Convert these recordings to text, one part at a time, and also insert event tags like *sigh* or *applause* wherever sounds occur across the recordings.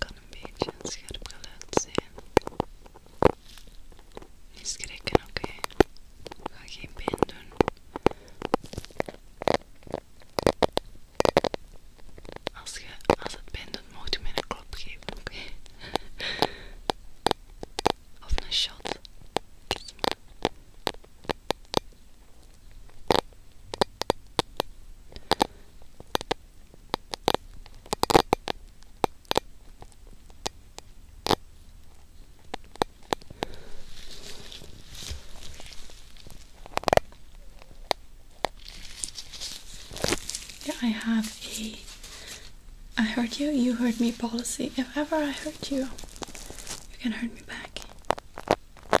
kan een beetje een scherp geluid zijn. Niet schrikken, oké. Ga geen pijn doen. Als, je, als het pijn doet, moet je mij een klop geven, oké? of een shot. Yeah, I have a I hurt you, you hurt me policy. If ever I hurt you, you can hurt me back.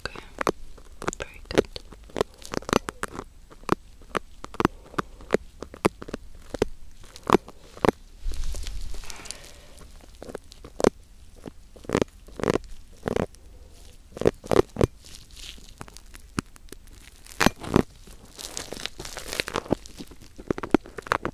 Okay, very good. Okay.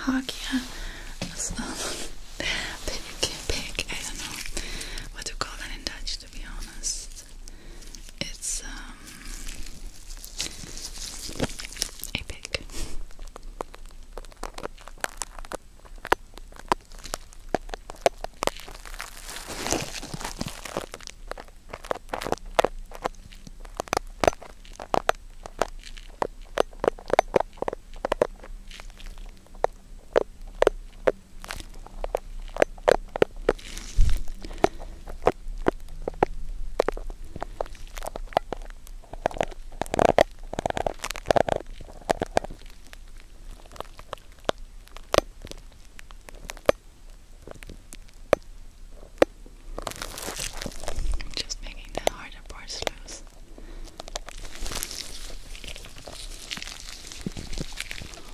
Hagia as well. Pig, pig, I don't know what to call that in Dutch to be honest. It's um just making the harder parts loose.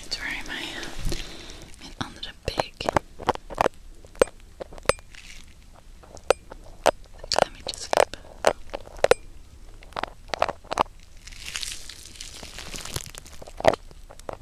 It's very my mean under Let me just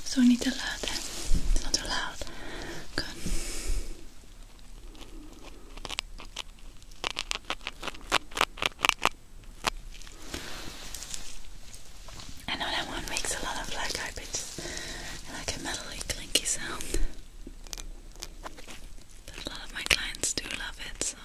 So sogni te late, sono loud. Good. I that one makes a lot of black eye like a metally clinky sound. But a lot of my clients do love it, so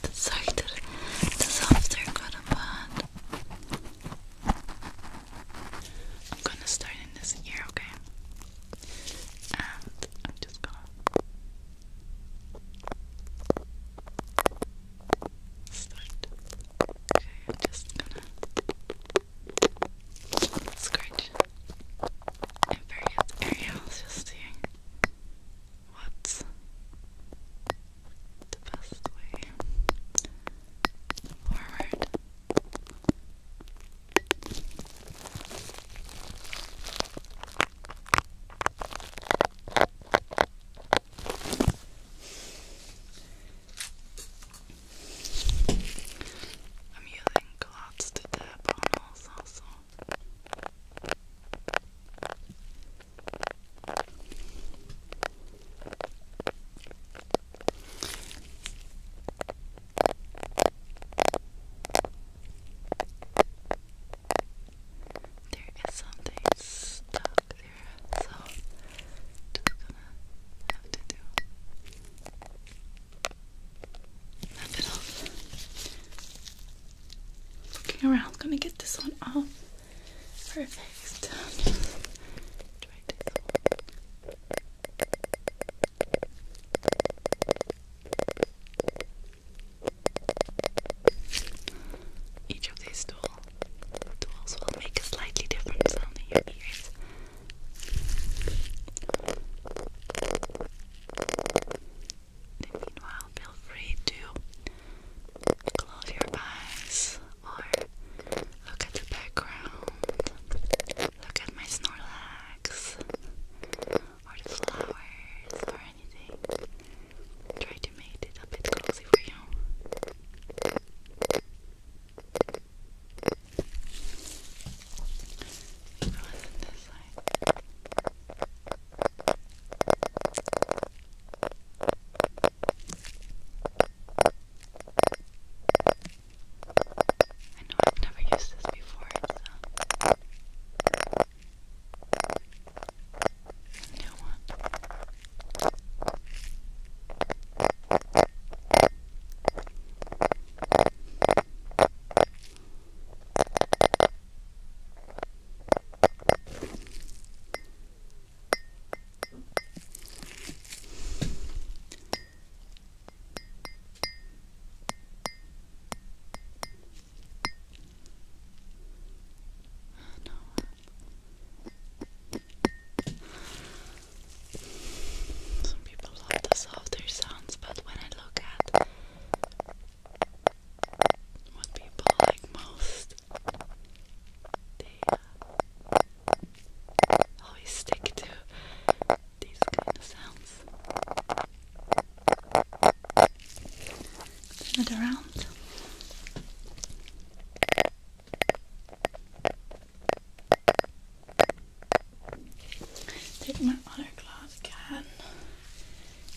Het zachter, het softer I'm gonna start in this ear, okay? And I'm just gonna start. Okay, I'm just gonna scratch in various areas, just seeing what's the best way forward. I'm using gloves to tap on also, so there is something stuck there, so just gonna have to do that it Looking around, gonna get this one off. Perfect. Each of these tools will make a slightly different sound in your ears. meanwhile, feel free to close your eyes or look at the background. Look at my Snorlax or the flowers or anything. Try to make it a bit cozy for you. Listen this side. I know I've never used this before, so a new one no. Some people love the softer sounds, but when I look at what people like most, they uh, always stick to these kind of sounds. Turn it around. Take my other glass can.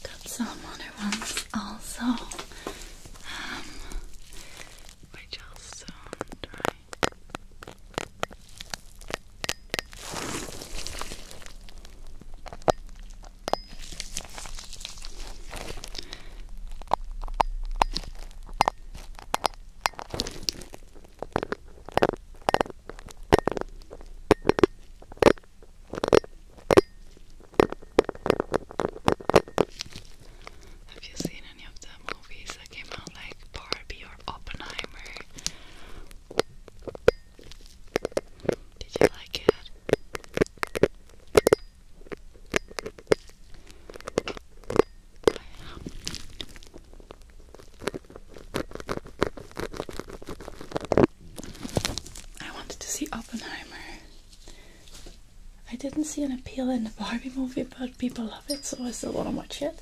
Got some other ones also. which um, also have you seen any of the movies movies came out like Barbie or Oppenheimer. Did you like it? I wanted to see Oppenheimer. I didn't see an appeal in the Barbie movie, but people love it, so I still want to watch it.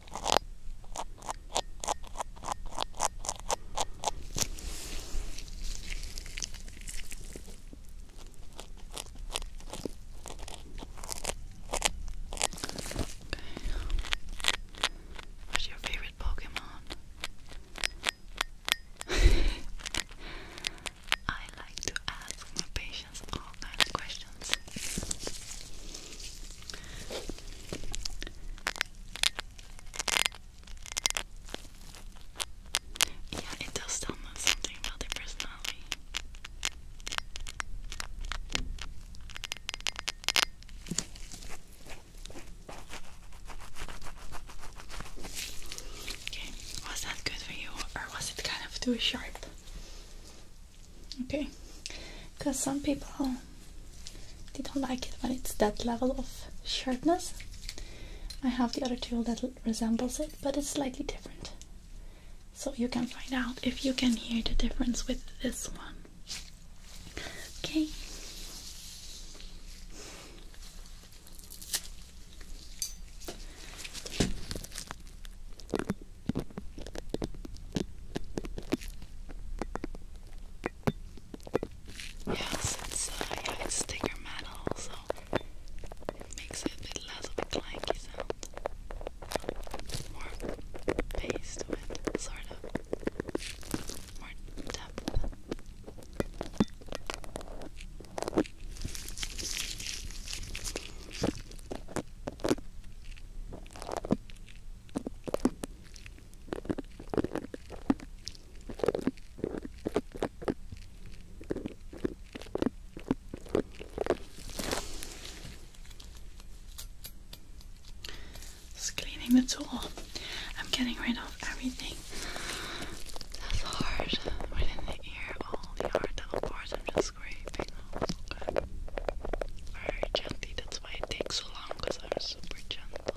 What's your favorite Pokemon? *laughs* I like to ask my patients all kinds of questions. Yeah, it does tell us something about their personality. Okay, was that good for you, or was it kind of too sharp? okay because some people they don't like it when it's that level of sharpness I have the other tool that resembles it but it's slightly different so you can find out if you can hear the difference with this one okay Yes, it's yeah, uh, it's thicker metal, so it makes it a bit less of a clanky sound. More bass to sort of. More depth cleaning the tool. I'm getting rid of everything that's hard within the ear, all the hard little parts. I'm just scraping off, okay? Very gently, that's why it takes so long, because I'm super gentle.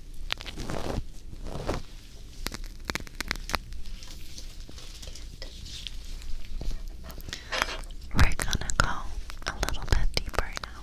We're gonna go a little bit deeper now.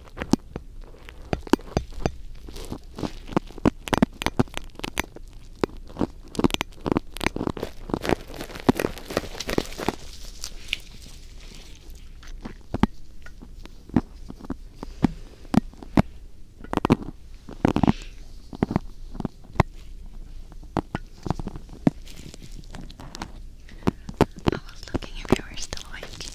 I was looking if you were still awake.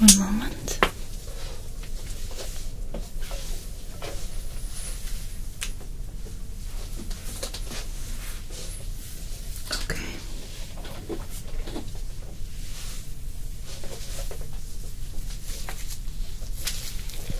One moment. Okay.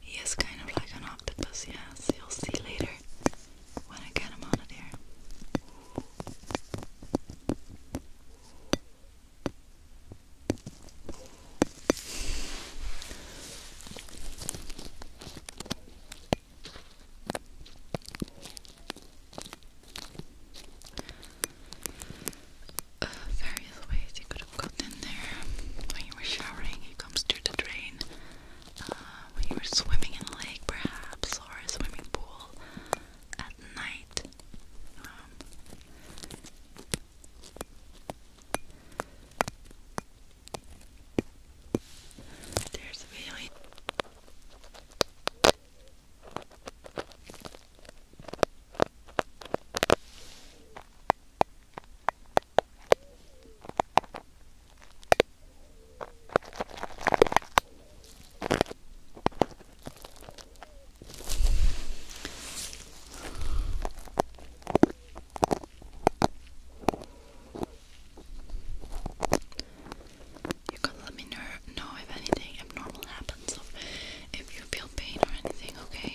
He is kind of like an octopus, yes. You'll see later when I get him out of there. Uh, various ways you could have gotten in there. When you were showering, it comes through the drain. Uh, you were swimming in a lake, perhaps, or a swimming pool at night. Um, there's a feeling. You can let me know, know if anything abnormal happens, if you feel pain or anything, okay?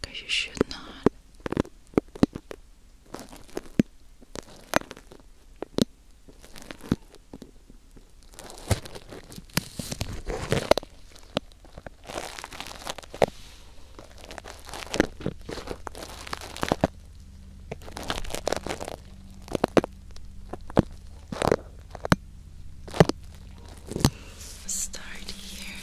Because you should not. Start here,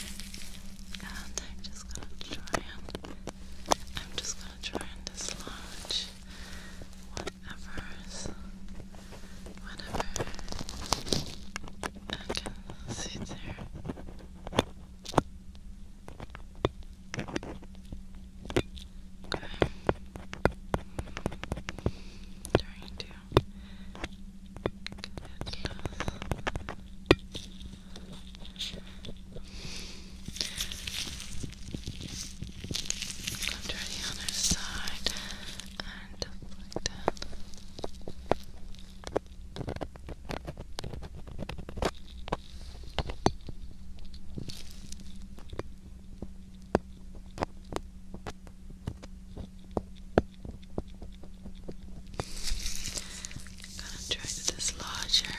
and I'm just gonna try I'm just going to try and dislodge whatever's, whatever I can see there. Okay. Trying to get it Come to the other side and like that gonna try to dislodge her.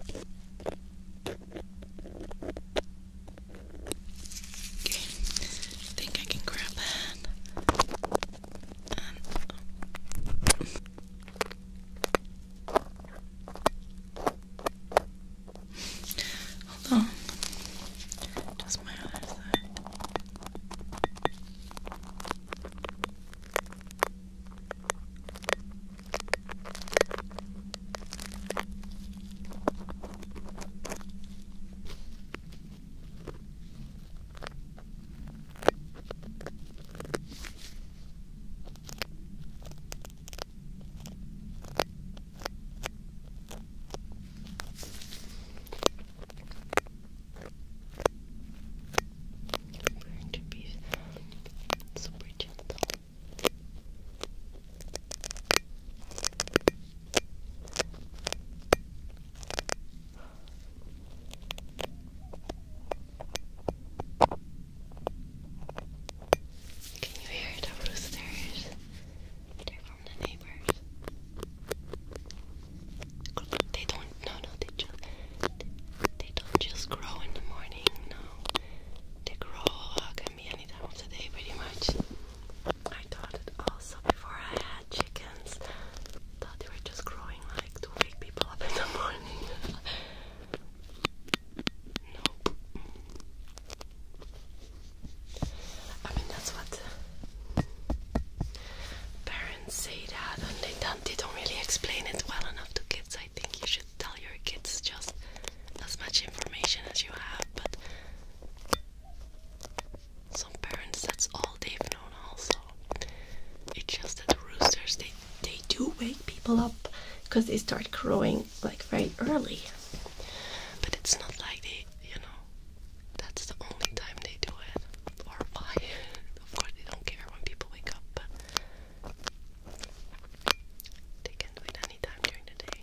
Okay, I think I can grab that. Um, hold on. Just my other side. Learn to be super gentle. Can you hear the roosters? They're from the neighbors. They don't, no, no, they just, they, don't just grow in the morning, no. They grow, uh, can be any time of the day pretty much. I thought it also before I had chickens, thought they were just growing like to wake people up in the morning. nope. I mean, that's what parents say that, and they don't, they don't really explain it well enough to kids. I think you should tell your kids just as much information as you have, but some parents, that's all they've known also. It's just that the roosters, they, they do wake people up because they start crowing like very early. But it's not like they, you know, that's the only time they do it. Or why. *laughs* of course they don't care when people wake up, but they can do it anytime during the day.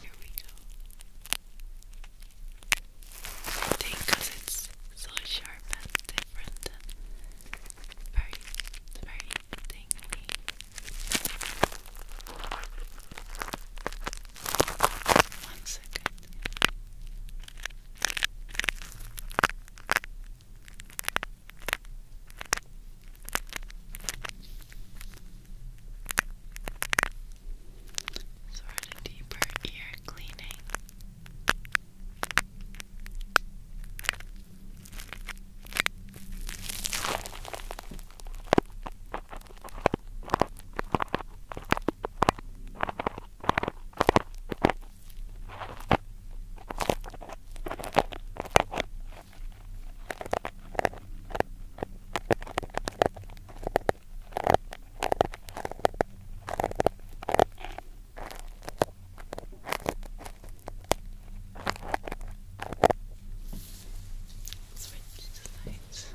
Here we go. I think it's so sharp and different and very, very tingly. One second. Sort of deeper ear cleaning. Switch the lights.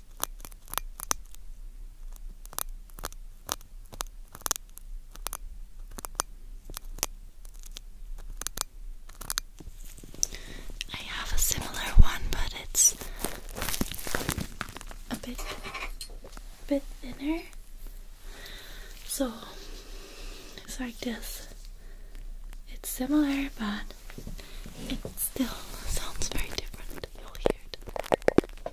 I have a similar one, but it's a bit a bit thinner. So it's like this. It's similar, but it still sounds very different forehead. Now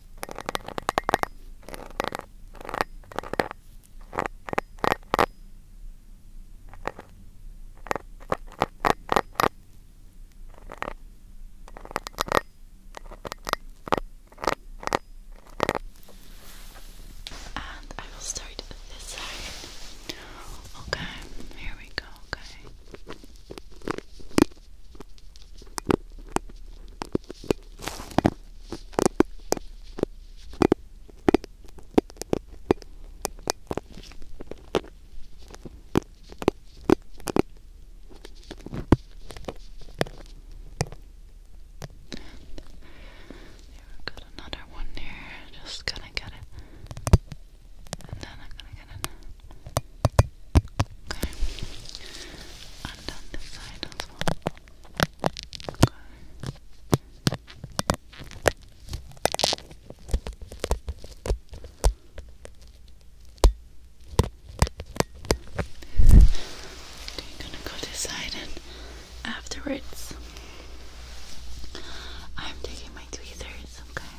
And I will start this side. Okay, here we go. Okay. Got another one there. Just gonna get it, and then I'm gonna get it. Okay. And on this side as Okay. You're gonna go decide side afterwards I'm taking my tweezers, okay?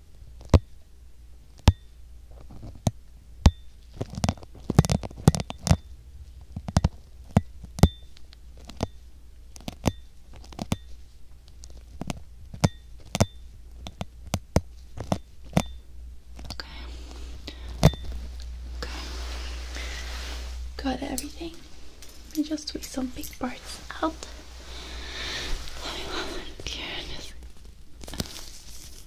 Okay. Okay. Got everything. Let me just tweak some big parts out. Oh